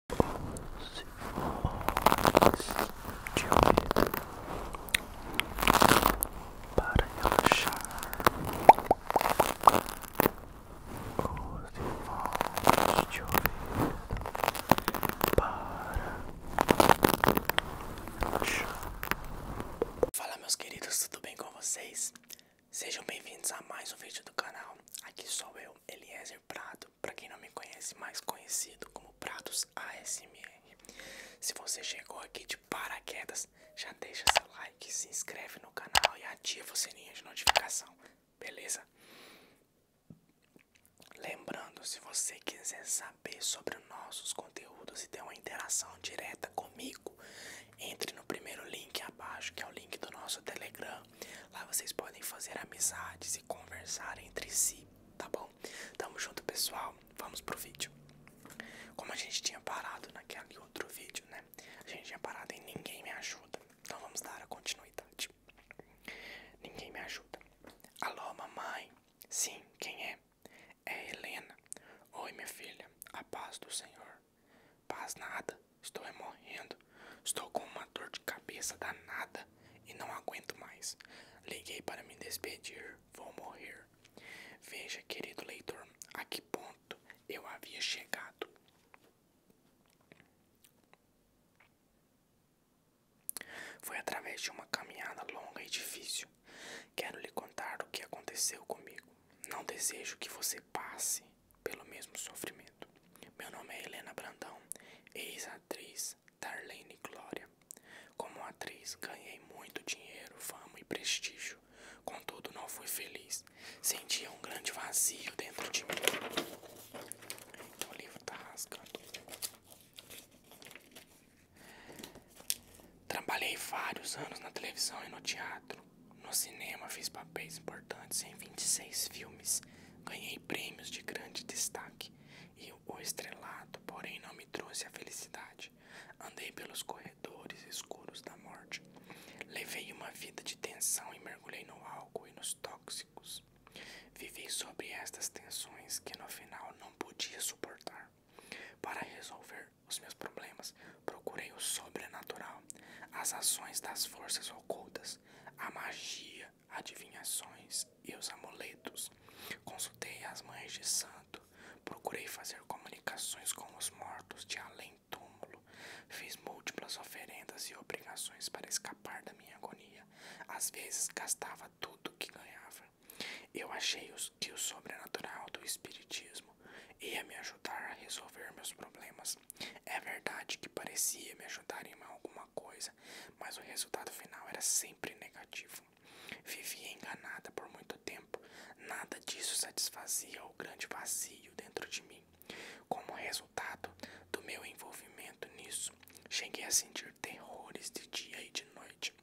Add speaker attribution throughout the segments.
Speaker 1: Doce voz de ouvido para relaxar. Doce voz de ouvido para relaxar. Fala, meus queridos, tudo bem com vocês? Sejam bem-vindos a mais um vídeo do canal. Aqui sou eu, Eliezer Prado para quem não me conhece, mais conhecido como Pratos ASMR. Se você chegou aqui de paraquedas, já deixa seu like, se inscreve no canal e ativa o sininho de notificação, beleza? Lembrando, se você quiser saber sobre nossos conteúdos e ter uma interação direta comigo, entre no primeiro link abaixo, que é o link do nosso Telegram Lá vocês podem fazer amizades e conversar entre si, tá bom? Tamo junto, pessoal. Vamos pro vídeo. Como a gente tinha parado naquele outro vídeo, né? A gente tinha parado e Ninguém Me Ajuda. Então vamos dar a continuidade. Ninguém me ajuda. Alô, mamãe. Sim, quem é? É Helena. Oi, minha filha. A paz do Senhor. Paz nada. Estou morrendo. Estou com uma dor de cabeça danada e não aguento mais. Liguei para me despedir. Vou morrer. Veja, querido leitor, a que ponto eu havia chegado. Foi através de uma caminhada longa e difícil. Quero lhe contar o que aconteceu comigo. Não desejo que você passe pelo mesmo sofrimento. Meu nome é Helena Brandão, ex-atriz Darlene Glória. Como atriz, ganhei muito dinheiro, fama e prestígio. Contudo, não fui feliz. Sentia um grande vazio dentro de mim. Então, o livro tá rasgando. Trabalhei vários anos na televisão e no teatro. No cinema, fiz papéis importantes em 26 filmes. Ganhei prêmios de grande destaque e o estrelado, porém, não me trouxe a felicidade. Andei pelos corredores escuros da morte. Levei uma vida de tensão e mergulhei no álcool e nos tóxicos. Vivi sobre estas tensões que no final não podia suportar. Para resolver os meus problemas, procurei o sobrenatural, as ações das forças ocultas, a magia adivinhações e os amuletos. Consultei as mães de santo, procurei fazer comunicações com os mortos de além-túmulo, fiz múltiplas oferendas e obrigações para escapar da minha agonia. Às vezes gastava tudo que ganhava. Eu achei que o sobrenatural do Espiritismo ia me ajudar a resolver meus problemas, é verdade que parecia me ajudar em alguma coisa, mas o resultado final era sempre negativo. Vivia enganada por muito tempo, nada disso satisfazia o grande vazio dentro de mim. Como resultado do meu envolvimento nisso, cheguei a sentir terrores de dia e de noite.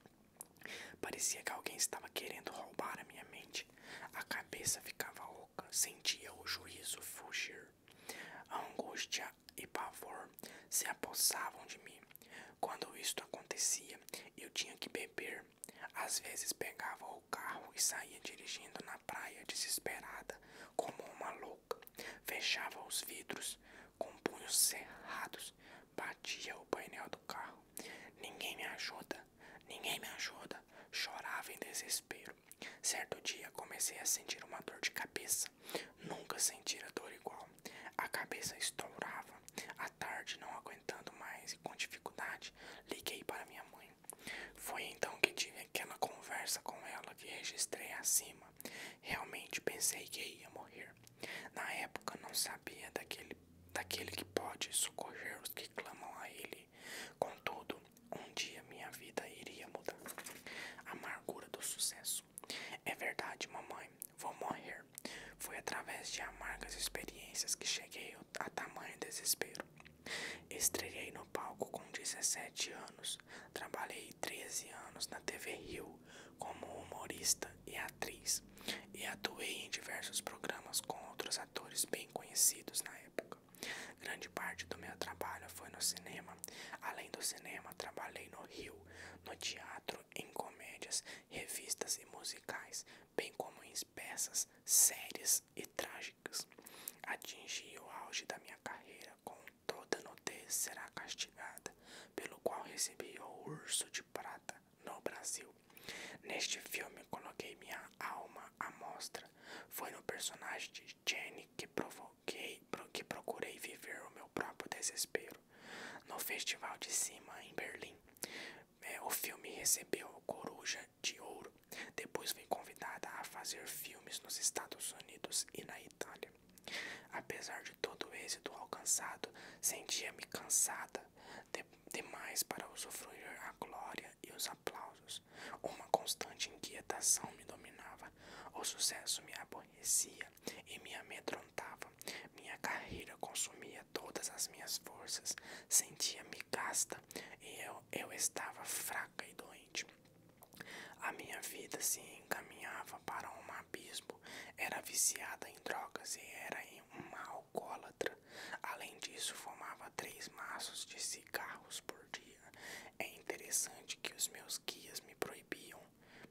Speaker 1: Parecia que alguém estava querendo roubar a minha mente. A cabeça ficava oca sentia o juízo fugir. A angústia e pavor se apossavam de mim. Quando isto acontecia, eu tinha que beber. Às vezes pegava o carro e saía dirigindo na praia desesperada, como uma louca. Fechava os vidros com punhos cerrados, batia o painel do carro. Ninguém me ajuda, ninguém me ajuda. Chorava em desespero. Certo dia comecei a sentir uma dor de cabeça. Nunca sentira dor igual. A cabeça estourava. À tarde, não aguentando mais e com dificuldade, liguei para minha mãe. Foi então que tive aquela conversa com ela que registrei acima. Realmente pensei que ia morrer. Na época não sabia daquele, daquele que pode socorrer os que clamam a ele. Contudo, um dia minha vida iria mudar. Amargura do sucesso. É verdade, mamãe, vou morrer. Foi através de amargas experiências que cheguei a tamanho desespero. Estreiei no palco com 17 anos. Trabalhei 13 anos na TV Rio como humorista e atriz e atuei em diversos programas com outros atores bem conhecidos na época. Grande parte do meu trabalho foi no cinema. Além do cinema, trabalhei no Rio, no teatro, em comédias, revistas e musicais, bem como em peças séries e trágicas. Atingi o auge da minha carreira com toda nudez será castigada, pelo qual recebi o Urso de Prata no Brasil. Neste filme coloquei minha alma à mostra. Foi no personagem de Jenny que provou que, que procurei viver o meu próprio desespero. No Festival de Cima, em Berlim, é, o filme recebeu Coruja de Ouro. Depois fui convidada a fazer filmes nos Estados Unidos e na Itália. Apesar de todo o êxito alcançado, sentia-me cansada demais para usufruir a glória e os os aplausos. Uma constante inquietação me dominava. O sucesso me aborrecia e me amedrontava. Minha carreira consumia todas as minhas forças. Sentia-me gasta e eu, eu estava fraca e doente. A minha vida se encaminhava para um abismo. Era viciada em drogas e era uma alcoólatra. Além disso, fumava três maços de cigarros por dia. É interessante que os meus guias me proibiam,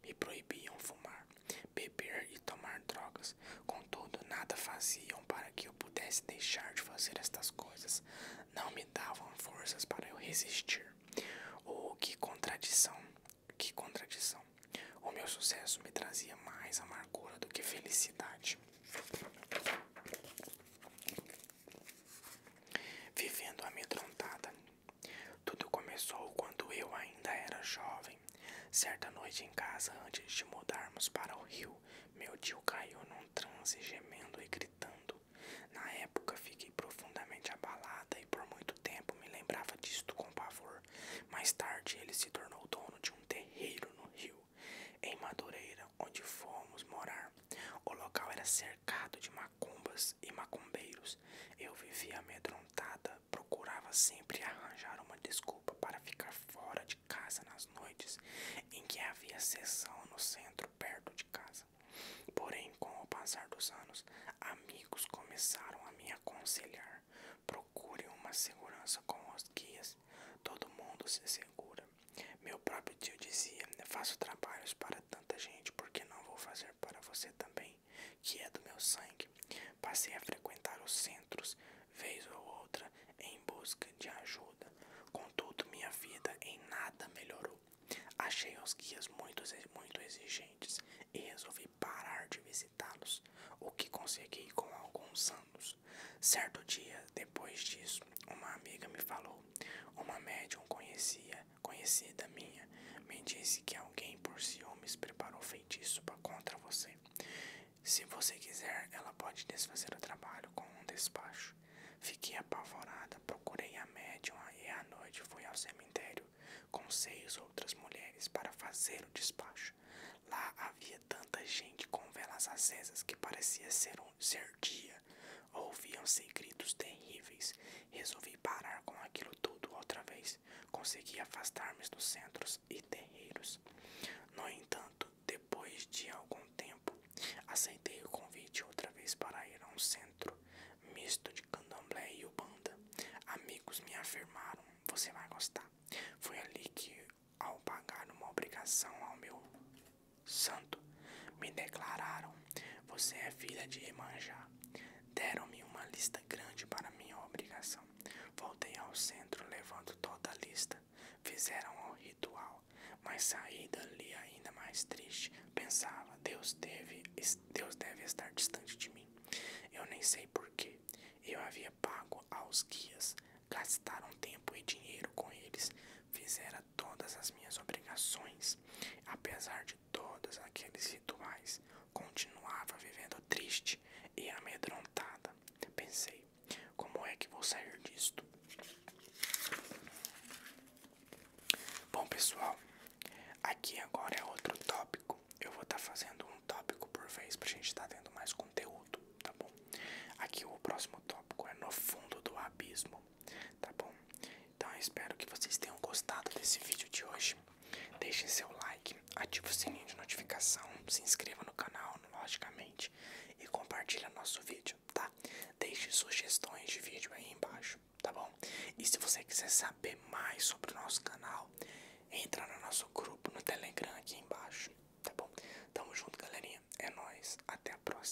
Speaker 1: me proibiam fumar, beber e tomar drogas. Contudo, nada faziam para que eu pudesse deixar de fazer estas coisas. Não me davam forças para eu resistir. Oh, que contradição! Que contradição! O meu sucesso me trazia mais amargura do que felicidade vivendo amedrontada. Tudo começou quando eu ainda era jovem. Certa noite em casa, antes de mudarmos para o Rio, meu tio caiu num transe gemendo e gritando. Na época, fiquei profundamente abalada e por muito tempo me lembrava disto com pavor. Mais tarde, ele se tornou dono de um terreiro no Rio, em Madureira, onde fomos morar. O local era certo cercado de macumbas e macumbeiros. Eu vivia amedrontada, procurava sempre arranjar uma desculpa para ficar fora de casa nas noites em que havia sessão no centro perto de casa. Porém, com o passar dos anos, amigos começaram a me aconselhar: procure uma segurança com os guias, todo mundo se segura. Meu próprio tio dizia: Faço trabalhos para tanta gente, porque não vou fazer para você também, que é do meu sangue. Passei a frequentar os centros, vez ou outra, em busca de ajuda. Contudo, minha vida em nada melhorou. Achei os guias muito, muito exigentes e resolvi parar de visitá-los, o que consegui com alguns anos. Certo dia, depois disso, uma amiga me falou uma médium conhecia, conhecida minha me disse que alguém por ciúmes preparou feitiço pra, contra você. Se você quiser, ela pode desfazer o trabalho com um despacho. Fiquei apavorada, procurei a médium e à noite fui ao cemitério com seis outras mulheres para fazer o despacho. Lá havia tanta gente com velas acesas que parecia ser um ser dia. Ouviam-se gritos terríveis. Resolvi parar com aquilo tudo outra vez. Consegui afastar-me dos centros e terreiros. No entanto, depois de algum tempo, aceitei o convite outra vez para ir a um centro misto de candomblé e ubanda. Amigos me afirmaram: você vai gostar. Foi ali que, ao pagar uma obrigação ao meu santo, me declararam: Você é filha de Emanjá. Deram-me uma lista grande para minha obrigação. Voltei ao centro levando toda a lista. Fizeram o ritual, mas saí dali ainda mais triste. Pensava: Deus deve, Deus deve estar distante de mim. Eu nem sei porquê. Eu havia pago aos guias, gastaram tempo e dinheiro com eles, fizera todas as minhas obrigações, apesar de todos aqueles rituais, continuava vivendo triste e amedrontada. Pensei, como é que vou sair disto? Bom pessoal, aqui agora é outro tópico. Eu vou estar tá fazendo um tópico por vez para a gente estar tá tendo mais conteúdo, tá bom? Aqui o próximo tópico é no fundo do abismo tá bom? Então eu espero que vocês tenham gostado desse vídeo de hoje. deixe seu like, ative o sininho de notificação, se inscreva no canal, logicamente, e compartilhe nosso vídeo, tá? Deixe sugestões de vídeo aí embaixo, tá bom? E se você quiser saber mais sobre o nosso canal, entra no nosso grupo no Telegram aqui embaixo, tá bom? Tamo junto, galerinha. É nóis. Até a próxima.